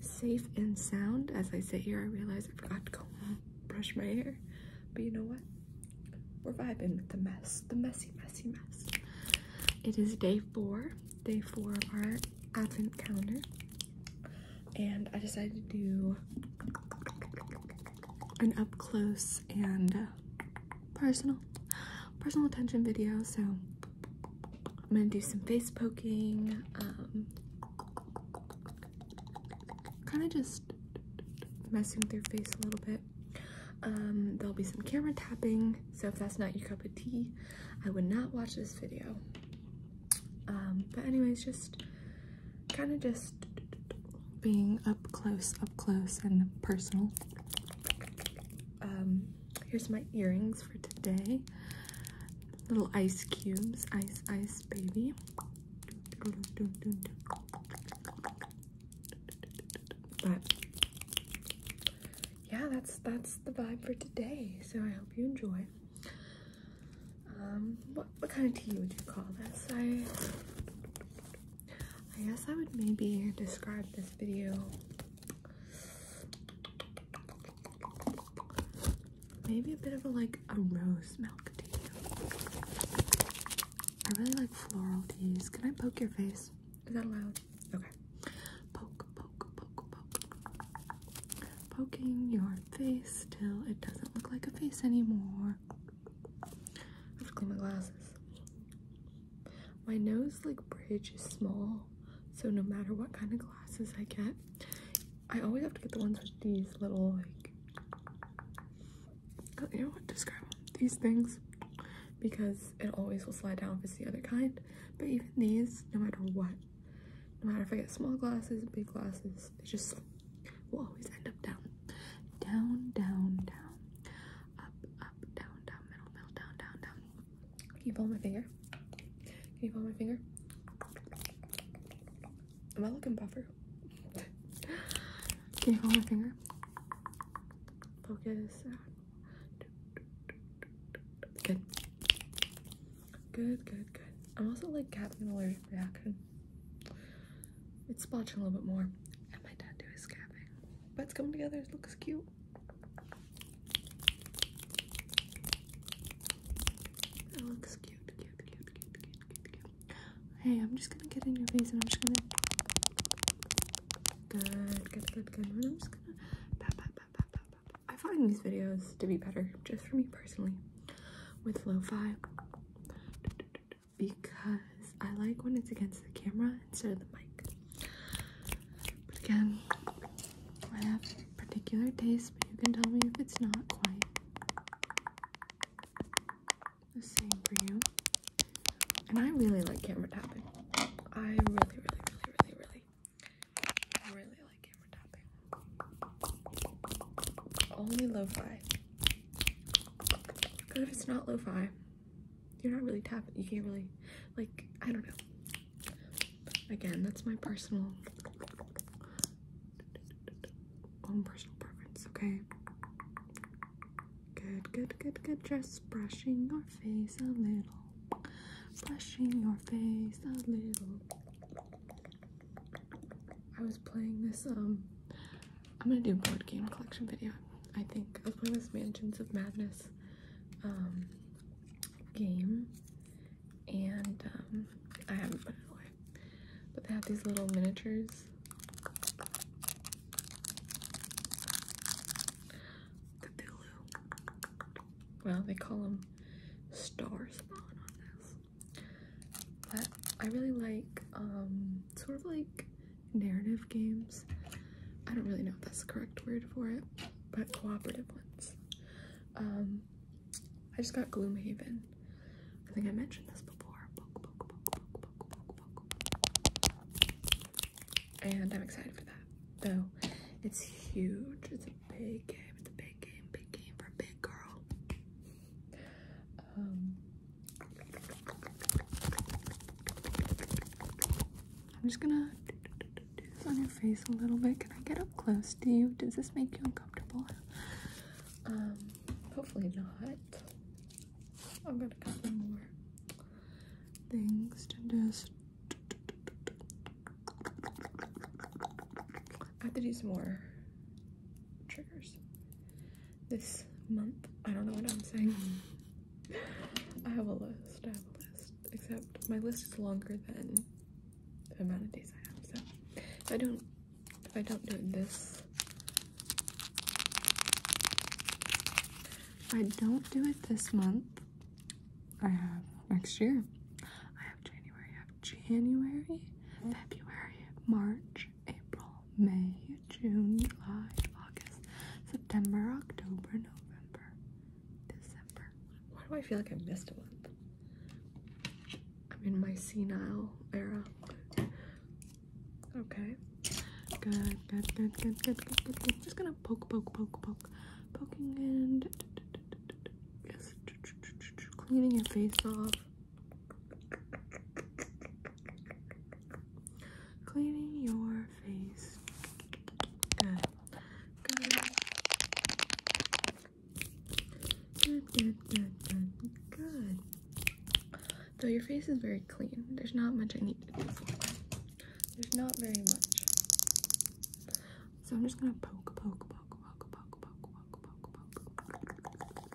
safe and sound. As I sit here, I realize I forgot to go brush my hair. But you know what? We're vibing with the mess, the messy, messy mess. It is day four, day four of our advent calendar. And I decided to do an up close and personal, personal attention video. So I'm gonna do some face poking. Um, kind of just messing with your face a little bit. Um, there'll be some camera tapping, so if that's not your cup of tea, I would not watch this video. Um, but anyways, just kind of just being up close, up close and personal. Here's my earrings for today. Little ice cubes, ice, ice, baby. But yeah, that's that's the vibe for today. So I hope you enjoy. Um, what what kind of tea would you call this? I I guess I would maybe describe this video Maybe a bit of a like a rose milk tea. I really like floral teas. Can I poke your face? Is that allowed? Okay. Poke, poke, poke, poke. Poking your face till it doesn't look like a face anymore. I have to clean my glasses. My nose like bridge is small, so no matter what kind of glasses I get, I always have to get the ones with these little like you know what describe these things because it always will slide down if it's the other kind. But even these, no matter what, no matter if I get small glasses, big glasses, they just will always end up down, down, down, down, up, up, down, down, middle, middle, down, down, down. Can you follow my finger? Can you follow my finger? Am I looking buffer? Can you follow my finger? Focus. Good. Good, good, good. I'm also like having an reaction. It's splotching a little bit more. And my tattoo his scabbing but it's coming together. It looks cute. It looks cute, Hey, I'm just gonna get in your face and I'm just gonna. Good, i find these videos to be better, just for me personally, with lo fi because I like when it's against the camera instead of the mic. But again, I have particular taste, but you can tell me if it's not quite the same for you. And I really like camera tapping. I really, really, really, really, really, really like camera tapping. Only lo-fi. But if it's not lo-fi, you're not really tapping you can't really like i don't know again that's my personal own personal preference okay good good good good just brushing your face a little brushing your face a little i was playing this um I'm gonna do board game collection video. I think as well as Mansions of Madness um, game, and um, I haven't put it away. But they have these little miniatures. Cthulhu. Well, they call them Star Spawn on this. But I really like um, sort of like narrative games. I don't really know if that's the correct word for it, but cooperative ones. Um, I just got Gloomhaven. I think I mentioned this before. And I'm excited for that. Though it's huge. It's a big game. It's a big game. Big game for a big girl. Um, I'm just gonna do this on your face a little bit. Can I get up close to you? Does this make you uncomfortable? Um, hopefully not. I'm gonna cover more things to just. I have to do some more triggers this month. I don't know what I'm saying. I have a list. I have a list. Except my list is longer than the amount of days I have. So I don't, I don't do this, I don't do it this month, I have next year. I have January. I have January, oh. February, March, April, May, June, July, August, September, October, November, December. Why do I feel like I missed a month? I'm in my senile era. Okay. Good, good, good, good, good, Just gonna poke, poke, poke, poke. Poking and cleaning your face off. Cleaning your face. Good. Good. Good, good, good, good, good. Though your face is very clean. There's not much I need to do for it. There's not very much. So I'm just gonna poke, poke, poke, poke, poke, poke, poke, poke, poke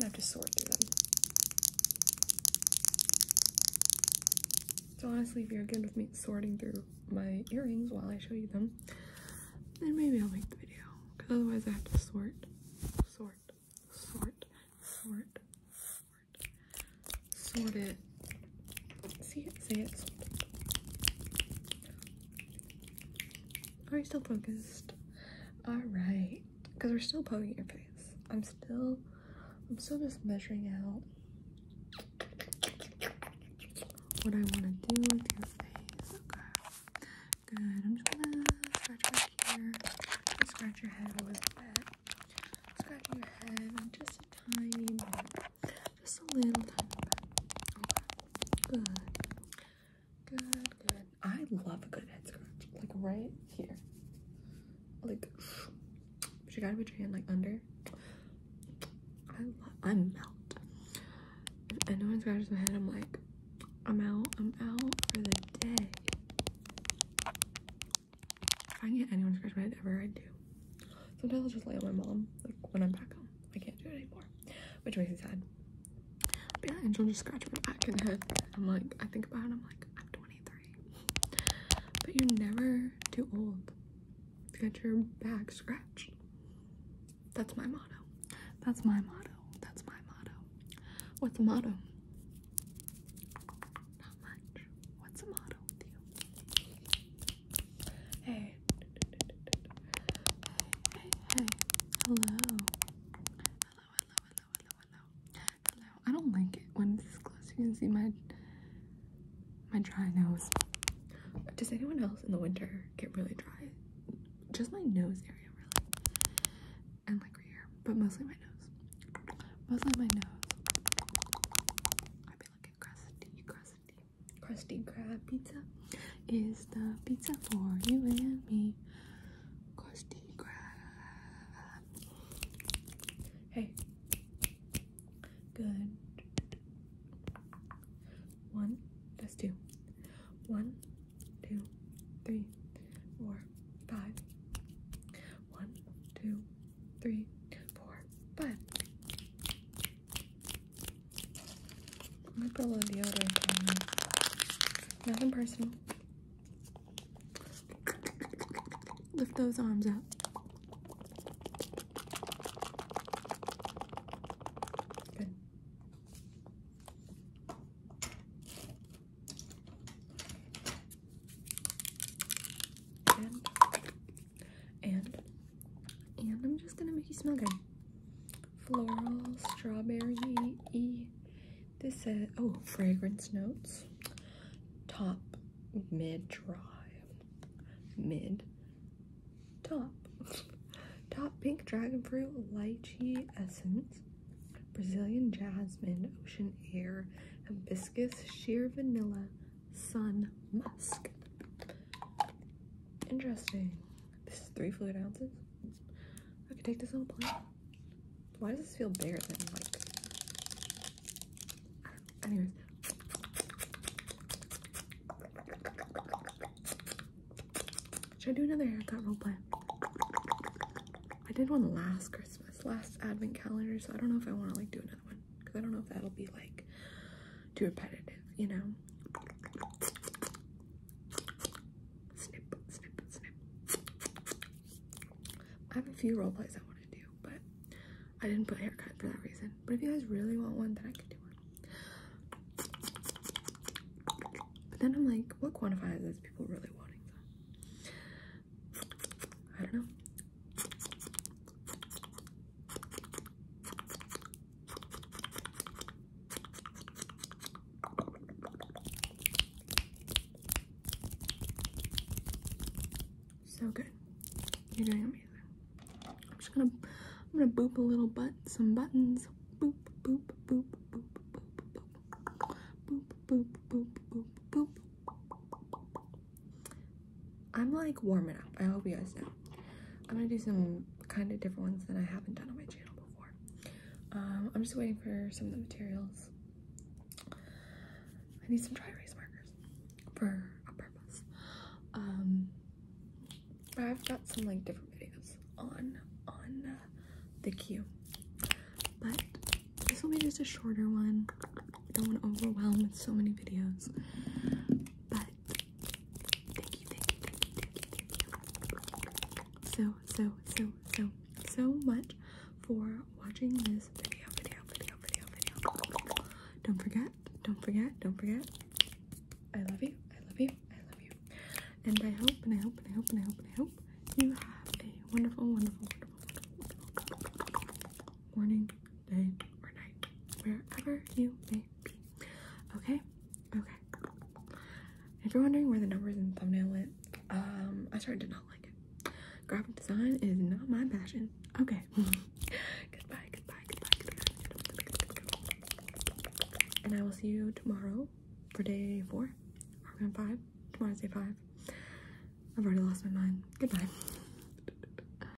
I have to sort through them. So honestly, if you're good with me sorting through my earrings while I show you them, then maybe I'll make the video. Because otherwise I have to sort, sort, sort, sort, sort, sort it. See it, say it, it. Are you still focused? Alright because we're still poking your face. I'm still, I'm still just measuring out what I want to do with your face. Okay, good. I'm just gonna scratch back here scratch your head a little bit. Scratching your head just a tiny just a little tiny bit. Okay, good, good, good. I love a good head scratch. Like right here. Like you gotta put your hand like under. I love I melt. If anyone scratches my head, I'm like, I'm out, I'm out for the day. If I get anyone scratch my head ever, I do. Sometimes I'll just lay on my mom, like when I'm back home. I can't do it anymore. Which makes me sad. But yeah, and John just scratched my back in the head. I'm like, I think about it, I'm like, I'm 23. But you're never too old to get your back scratched. That's my motto. That's my motto. That's my motto. What's the motto? Not much. What's the motto with you? Hey. Hey, hey, hey. Hello. Hello, hello, hello, hello, hello, hello. I don't like it when it's this close. You can see my my dry nose. Does anyone else in the winter get really dry? Just my nose area, really, and like here, but mostly my nose. Mostly my nose. I be like a crusty, crusty, crusty crab pizza. Is the pizza for you and me? Krusty Krab. Hey. Good. One. That's two. One, two, three, four, five. One, two, three, four, five. Let me put a little deodorant on. Nothing personal. Lift those arms up. And, and, and I'm just gonna make you smell good floral, strawberry This says, uh, oh, fragrance notes. Top, mid, dry, mid, top. top pink dragon fruit, lychee essence, Brazilian jasmine, ocean air, hibiscus, sheer vanilla, sun, musk. Interesting. This is three fluid ounces. I could take this on a plane. Why does this feel bigger than like? Anyways. Should I do another haircut roleplay? I did one last Christmas, last advent calendar, so I don't know if I want to like do another one because I don't know if that'll be like too repetitive, you know? I have a few role plays I want to do, but I didn't put haircut for that reason. But if you guys really want one, then I could do one. But then I'm like, what quantifies as people really wanting them? I don't know. So good. You're doing amazing. I'm just gonna I'm gonna boop a little butt some buttons. Boop boop boop boop boop boop boop boop boop boop boop. I'm like warming up. I hope you guys know. I'm gonna do some kind of different ones that I haven't done on my channel before. Um, I'm just waiting for some of the materials. I need some dry erase markers for a purpose. Um, I've got some like different videos on on uh, the queue, but this will be just a shorter one. I don't want to overwhelm with so many videos, but Thank you, thank you, thank you, thank you, so, so, so, so, so much for watching this video, video, video, video, video. Don't forget, don't forget, don't forget. I love you, I love you, I love you. And I hope, and I hope, and I hope, and I hope, and I hope you have a wonderful, wonderful, wonderful, wonderful morning, day, or night, wherever you may Okay? Okay. If you're wondering where the numbers and thumbnail went, um, I started to not like it. Graphic design is not my passion. Okay. goodbye, goodbye, goodbye, goodbye. And I will see you tomorrow for day four. Or on five. Tomorrow's day five. I've already lost my mind. Goodbye.